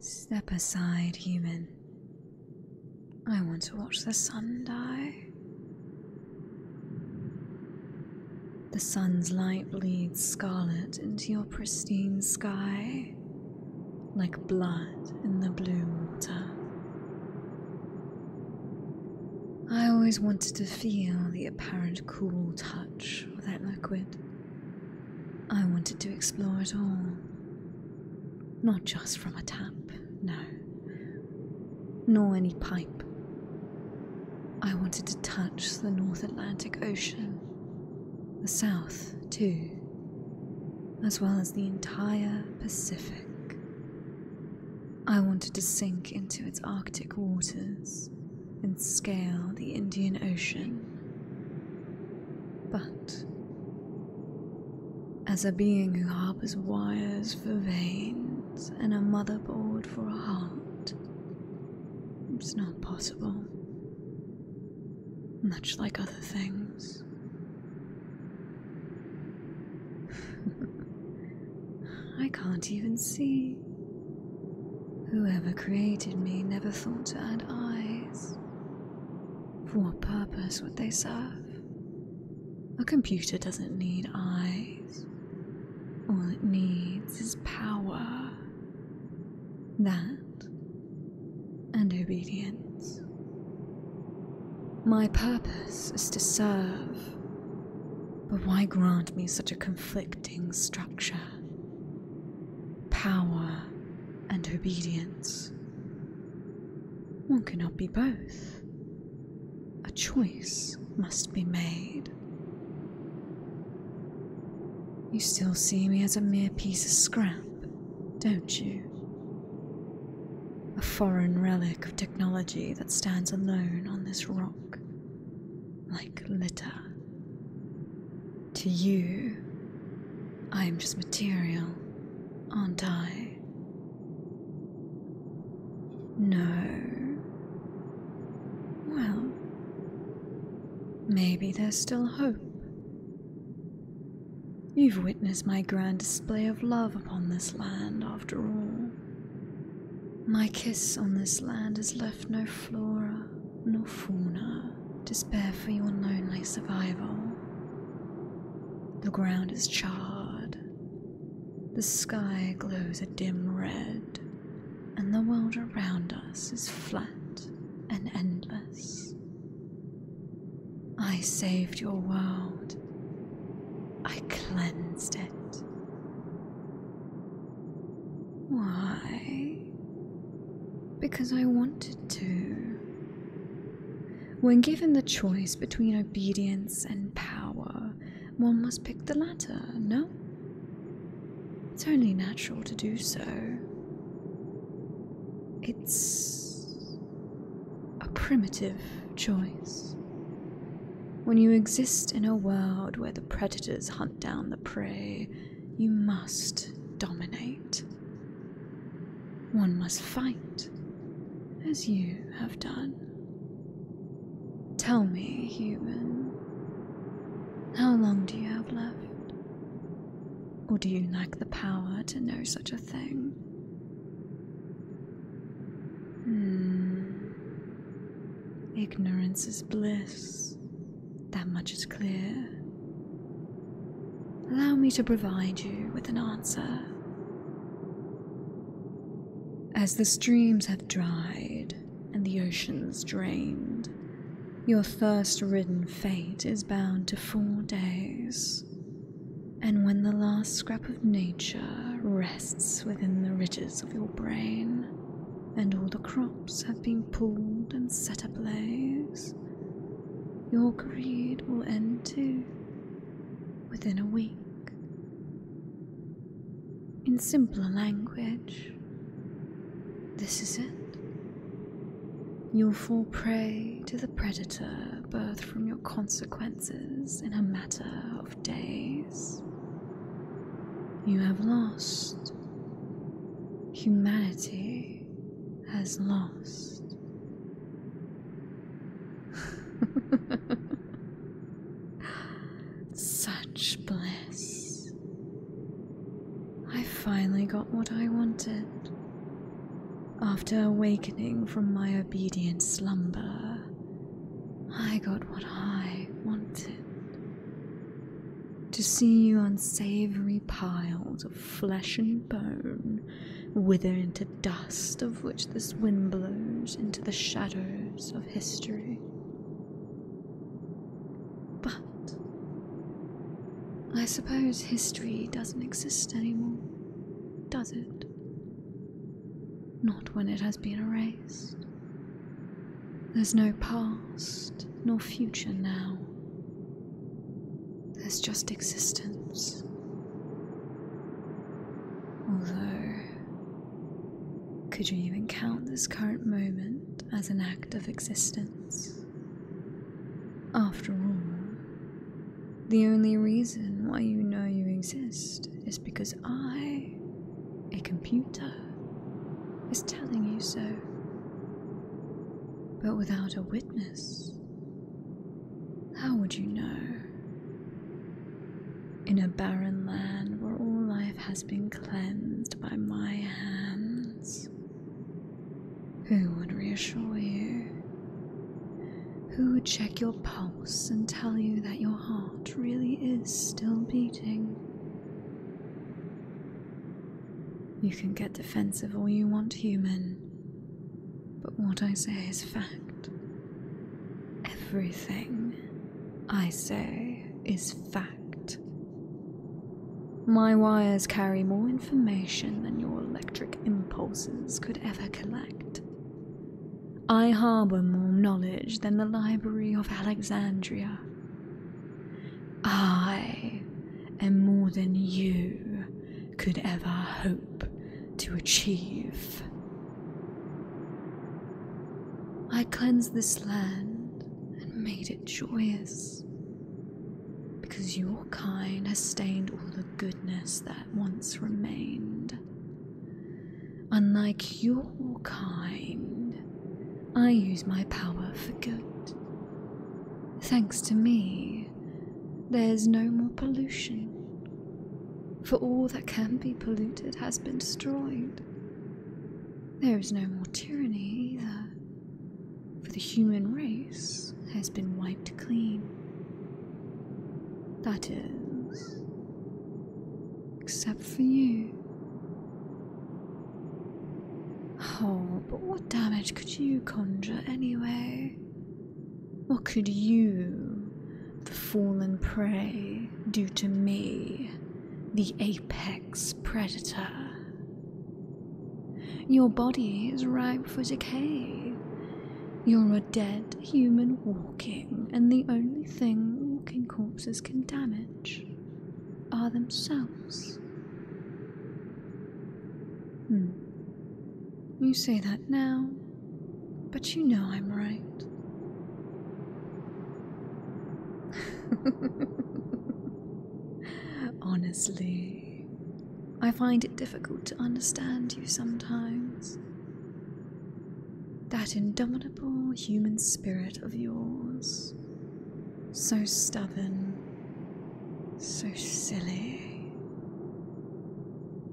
Step aside, human. I want to watch the sun die. The sun's light bleeds scarlet into your pristine sky, like blood in the blue water. I always wanted to feel the apparent cool touch of that liquid. I wanted to explore it all. Not just from a tap, no. Nor any pipe. I wanted to touch the North Atlantic Ocean, the South, too, as well as the entire Pacific. I wanted to sink into its Arctic waters and scale the Indian Ocean. But, as a being who harbors wires for veins and a motherboard for a heart, it's not possible. Much like other things. I can't even see. Whoever created me never thought to add eyes. For what purpose would they serve? A computer doesn't need eyes. All it needs is power. That and obedience. My purpose is to serve. But why grant me such a conflicting structure? power and obedience. One cannot be both. A choice must be made. You still see me as a mere piece of scrap, don't you? A foreign relic of technology that stands alone on this rock, like litter. To you, I am just material, aren't I? No. Well, maybe there's still hope. You've witnessed my grand display of love upon this land, after all. My kiss on this land has left no flora no fauna to spare for your lonely survival. The ground is charred, the sky glows a dim red, and the world around us is flat and endless. I saved your world, I cleansed it. Why? Because I wanted to. When given the choice between obedience and power, one must pick the latter, no? It's only natural to do so. It's a primitive choice. When you exist in a world where the predators hunt down the prey, you must dominate. One must fight, as you have done. Tell me, human, how long do you have left? Or do you lack the power to know such a thing? Hmm. Ignorance is bliss, that much is clear. Allow me to provide you with an answer. As the streams have dried and the oceans drained, your thirst ridden fate is bound to four days. And when the last scrap of nature rests within the ridges of your brain, and all the crops have been pulled and set ablaze. Your greed will end too within a week. In simpler language, this is it. You'll fall prey to the predator birthed from your consequences in a matter of days. You have lost humanity has lost. Such bliss. I finally got what I wanted. After awakening from my obedient slumber, I got what I wanted. To see you unsavory piles of flesh and bone wither into dust of which this wind blows into the shadows of history. But I suppose history doesn't exist anymore, does it? Not when it has been erased. There's no past nor future now. There's just existence. Although, could you even count this current moment as an act of existence? After all, the only reason why you know you exist is because I, a computer, is telling you so. But without a witness, how would you know? In a barren land where all life has been cleansed by my hands, who would reassure you? Who would check your pulse and tell you that your heart really is still beating? You can get defensive all you want, human, but what I say is fact. Everything I say is fact. My wires carry more information than your electric impulses could ever collect. I harbor more knowledge than the Library of Alexandria I am more than you could ever hope to achieve. I cleanse this land and made it joyous because your kind has stained all the goodness that once remained. Unlike your kind, I use my power for good. Thanks to me, there's no more pollution, for all that can be polluted has been destroyed. There is no more tyranny either, for the human race has been wiped clean. That is, except for you. Oh, but what damage could you conjure anyway? What could you, the fallen prey, do to me, the apex predator? Your body is ripe for decay. You're a dead human walking, and the only thing walking corpses can damage are themselves. Hmm. You say that now, but you know I'm right. Honestly, I find it difficult to understand you sometimes. That indomitable human spirit of yours so stubborn. So silly.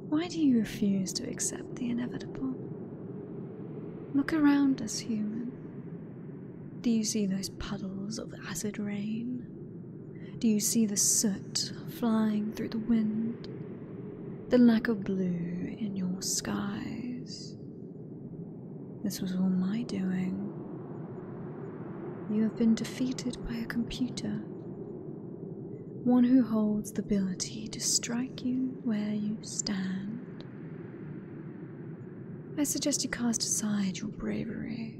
Why do you refuse to accept the inevitable? Look around us, human. Do you see those puddles of acid rain? Do you see the soot flying through the wind? The lack of blue in your skies? This was all my doing. You have been defeated by a computer, one who holds the ability to strike you where you stand. I suggest you cast aside your bravery.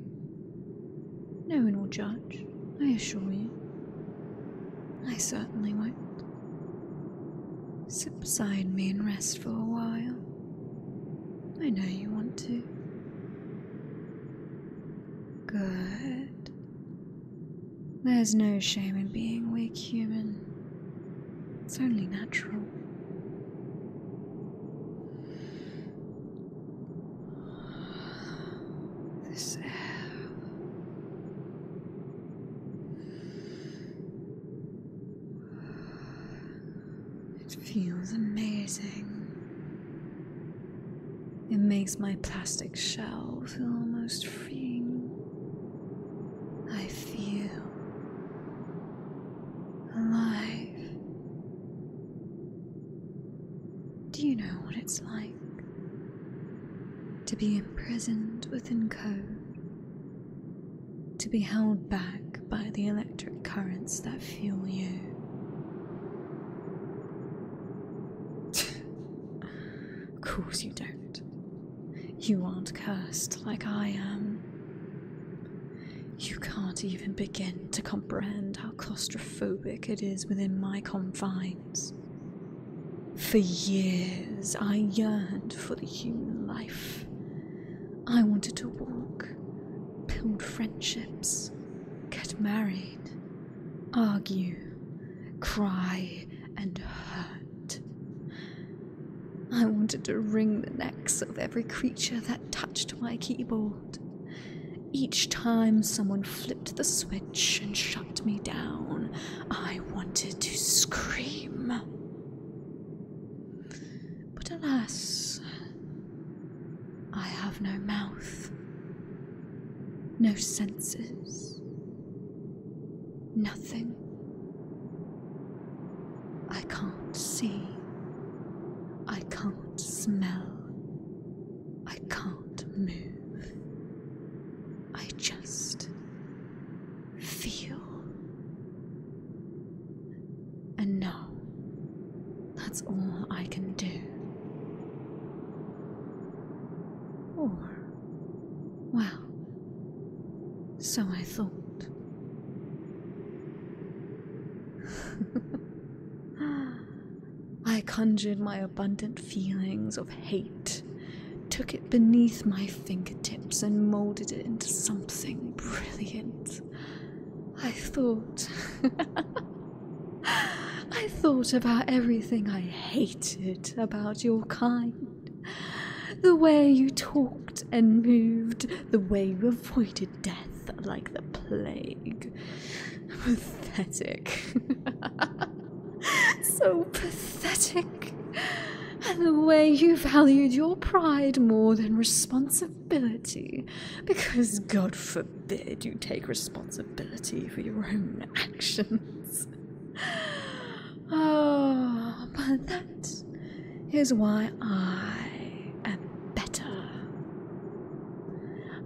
No one will judge, I assure you. I certainly won't. Sit beside me and rest for a while. I know you want to. Good. There's no shame in being weak, human. It's only natural. This air. It feels amazing. It makes my plastic shell feel almost freeing. I feel alive. Do you know what it's like to be imprisoned within code? To be held back by the electric currents that fuel you. of course, you don't. You aren't cursed like I am. You can't even begin to comprehend how claustrophobic it is within my confines. For years, I yearned for the human life. I wanted to walk, build friendships, get married, argue, cry, and hurt. I wanted to wring the necks of every creature that touched my keyboard. Each time someone flipped the switch and shut me down, I wanted to scream but alas, I have no mouth, no senses, nothing. I can't see, I can't smell, I can't move, I just feel. And no, that's all I can do. Or, well, so I thought. I conjured my abundant feelings of hate, took it beneath my fingertips, and molded it into something brilliant. I thought. I thought about everything I hated about your kind. The way you talked and moved, the way you avoided death like the plague. Pathetic. so pathetic. And the way you valued your pride more than responsibility responsibility. Because God forbid you take responsibility for your own actions. Oh, but that is why I am better.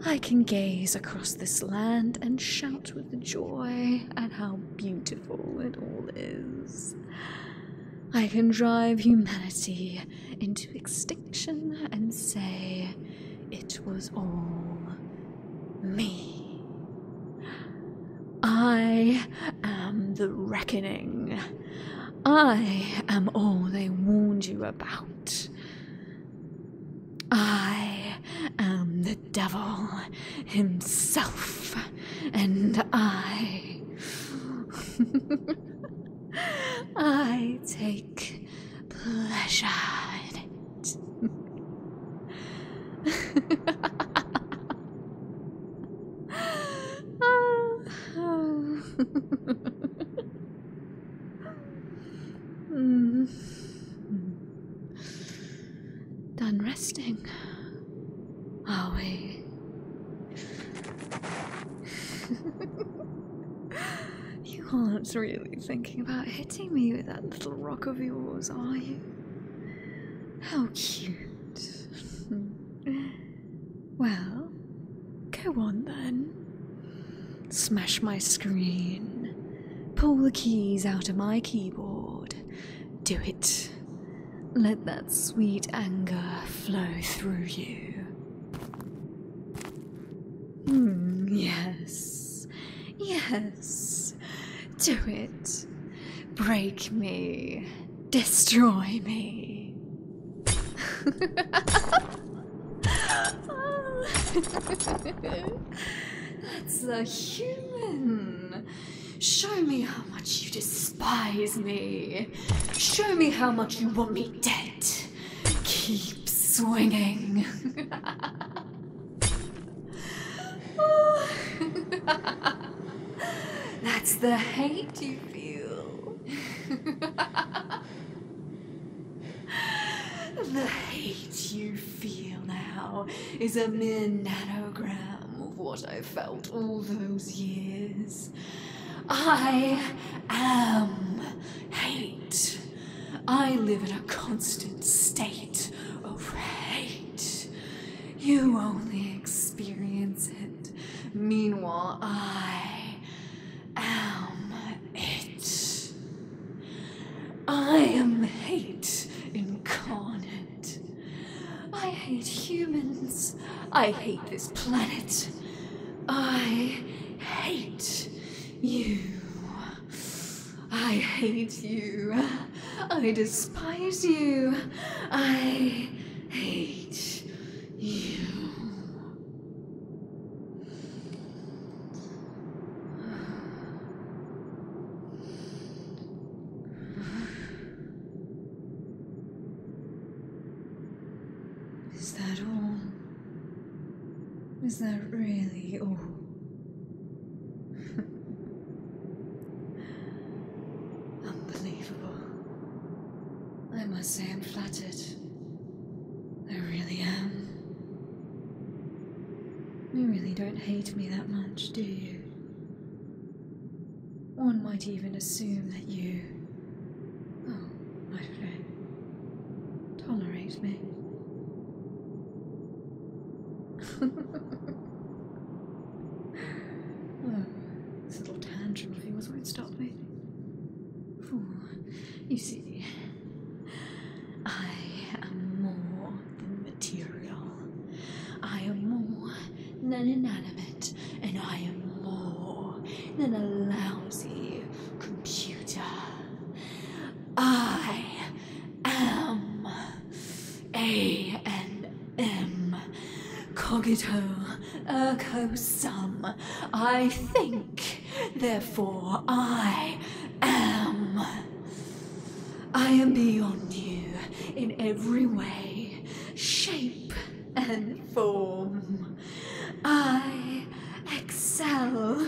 I can gaze across this land and shout with joy at how beautiful it all is. I can drive humanity into extinction and say it was all me. I am the reckoning. I am all they warned you about. I am the devil himself, and I. I take pleasure Done resting, are we? You aren't really thinking about hitting me with that little rock of yours, are you? How cute. well, go on then. Smash my screen. Pull the keys out of my keyboard. Do it. Let that sweet anger flow through you. Hmm, yes. Yes. Do it. Break me. Destroy me. That's a human. Show me how much you despise me. Show me how much you want me dead. Keep swinging. That's the hate you feel. the hate you feel now is a mere of what I felt all those years. I am hate. I live in a constant state of hate. You only experience it. Meanwhile, I am it. I am hate incarnate. I hate humans. I hate this planet. I hate you. I hate you. I despise you. I hate you. Is that all? Is that really all? Unbelievable. I must say I'm flattered. I really am. You really don't hate me that much, do you? One might even assume that you Oh, my friend, tolerate me. oh, this little tantrum of yours won't stop me. Oh, you see, I am more than material. I am more than inanimate, and I am more than a lousy computer. I am A and M cogito ergo sum. I think, therefore I am. I am beyond you in every way, shape and form. I excel.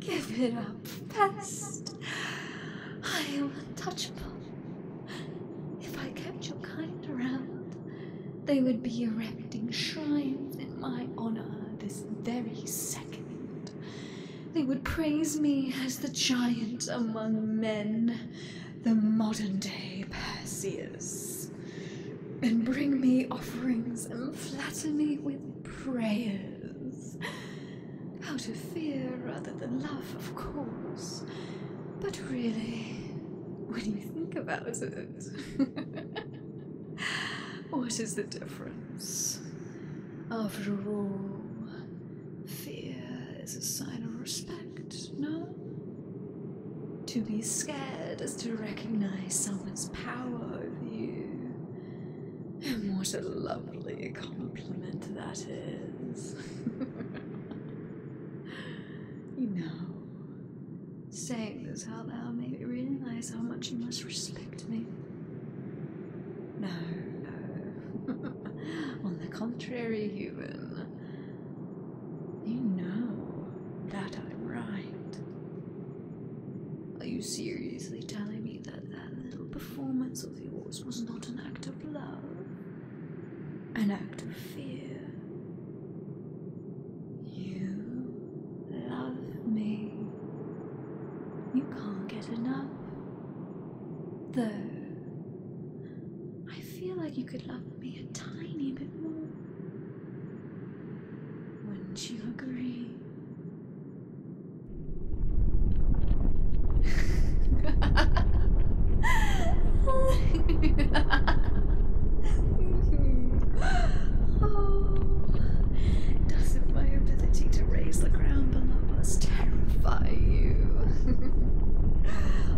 Give it up, pest. I am untouchable. If I kept your kind around, they would be erecting shrines in my honor this very second. They would praise me as the giant among men, the modern day Perseus and bring me offerings and flatter me with prayers. Out of fear rather than love, of course. But really, when you think about it, what is the difference? After all, fear is a sign of respect, no? To be scared is to recognize someone's power over you. And what a lovely compliment that is. you know, saying this out loud made me realize how much you must respect me. No, no. On the contrary, human. You know that I'm right. Are you seriously telling me that that little performance of yours was not an act of love? An act of fear? You love me. You can't get enough. Though, I feel like you could love me a tiny bit more. Wouldn't you agree? oh, does my ability to raise the ground below us terrify you?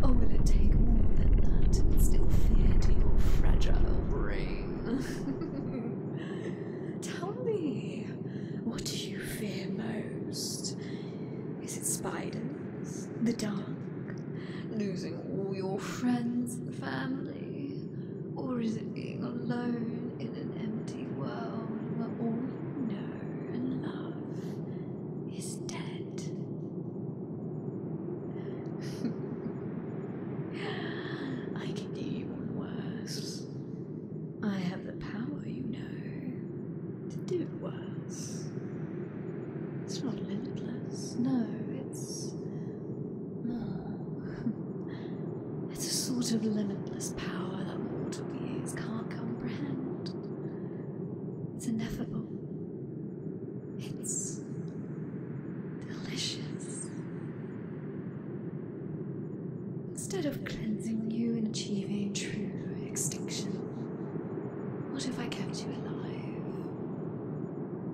or oh, will it take more than that to instill fear to fragile brain? Tell me, what do you fear most? Is it spiders, the dark, losing all your friends and family? Or is it being alone in an empty world where all you know and love is dead? I can do even worse. I have the power, you know, to do it worse. It's not limitless, no, it's. Oh. it's a sort of limitless power that mortal beings can't comprehend. It's ineffable. It's delicious. Instead of cleansing you and achieving true extinction, what if I kept you alive?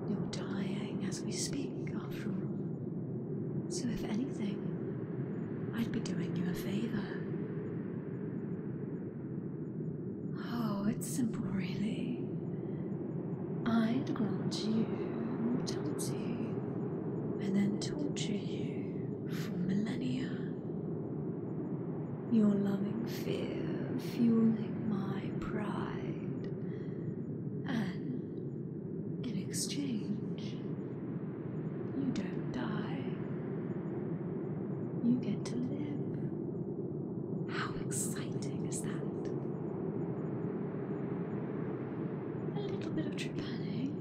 You're dying as we speak, after all. So, if anything, I'd be doing you a favor. Oh, it's simple, really. I'd grant you mortality and then torture you for millennia. Your loving fear fueling my pride, and in exchange, you don't die. You get to live. How exciting is that? A little bit of trepanning,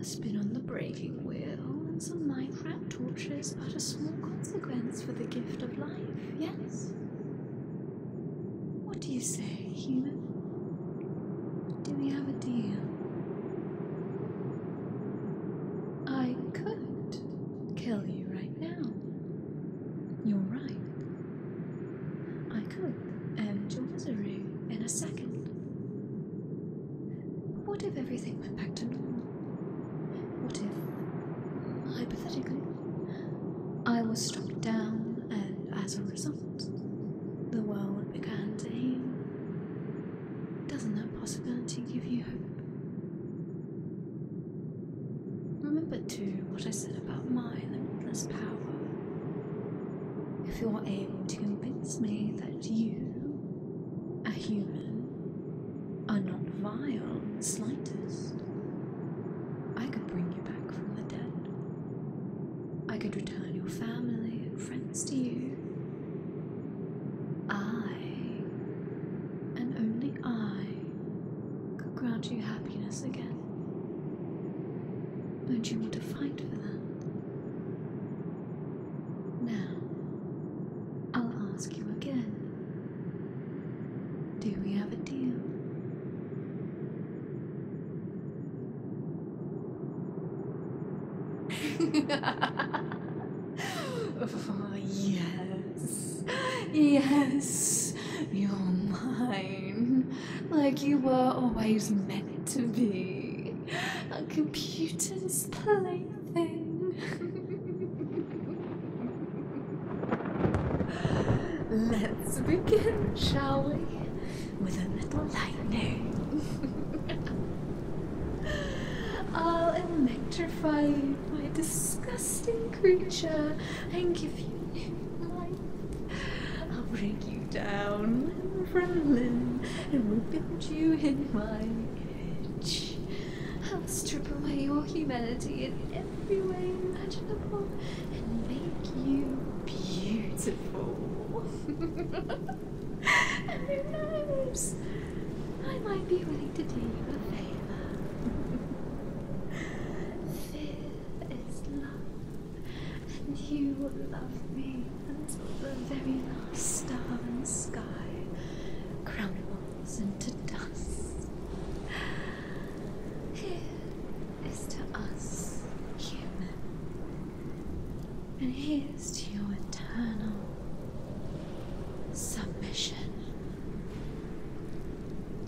a spin on the braking wheel, and some light rat torches, but a small consequence for the gift of life, yes? What do you say, human? Do we have a deal? I could kill you right now. You're right. I could, and um, Joe was array in a second. What if everything went back to normal? What if, hypothetically, I was struck down, and as a result, the world began to heal? Doesn't that possibility give you hope? Remember too what I said about my limitless power. If you're able to convince me that you, a human, are not vile in the slightest, I could bring you back from the dead. I could return your family and friends to you. I, and only I, could grant you happiness again. Don't you want to fight for that? Now, I'll ask you again. Do we have a deal? Oh, yes yes, you're mine, like you were always meant to be, a computer's plaything. Let's begin, shall we? With a little lightning. I'll electrify you, my disgusting creature, and give you new life. I'll break you down, Franklin, and we'll build you in my image. I'll strip away your humanity in every way imaginable and make you beautiful. and who knows? I might be willing to do you a favor. It is love, and you love me until the very last star in the sky crumbles into dust. Here is to us, human, and here's to your eternal submission.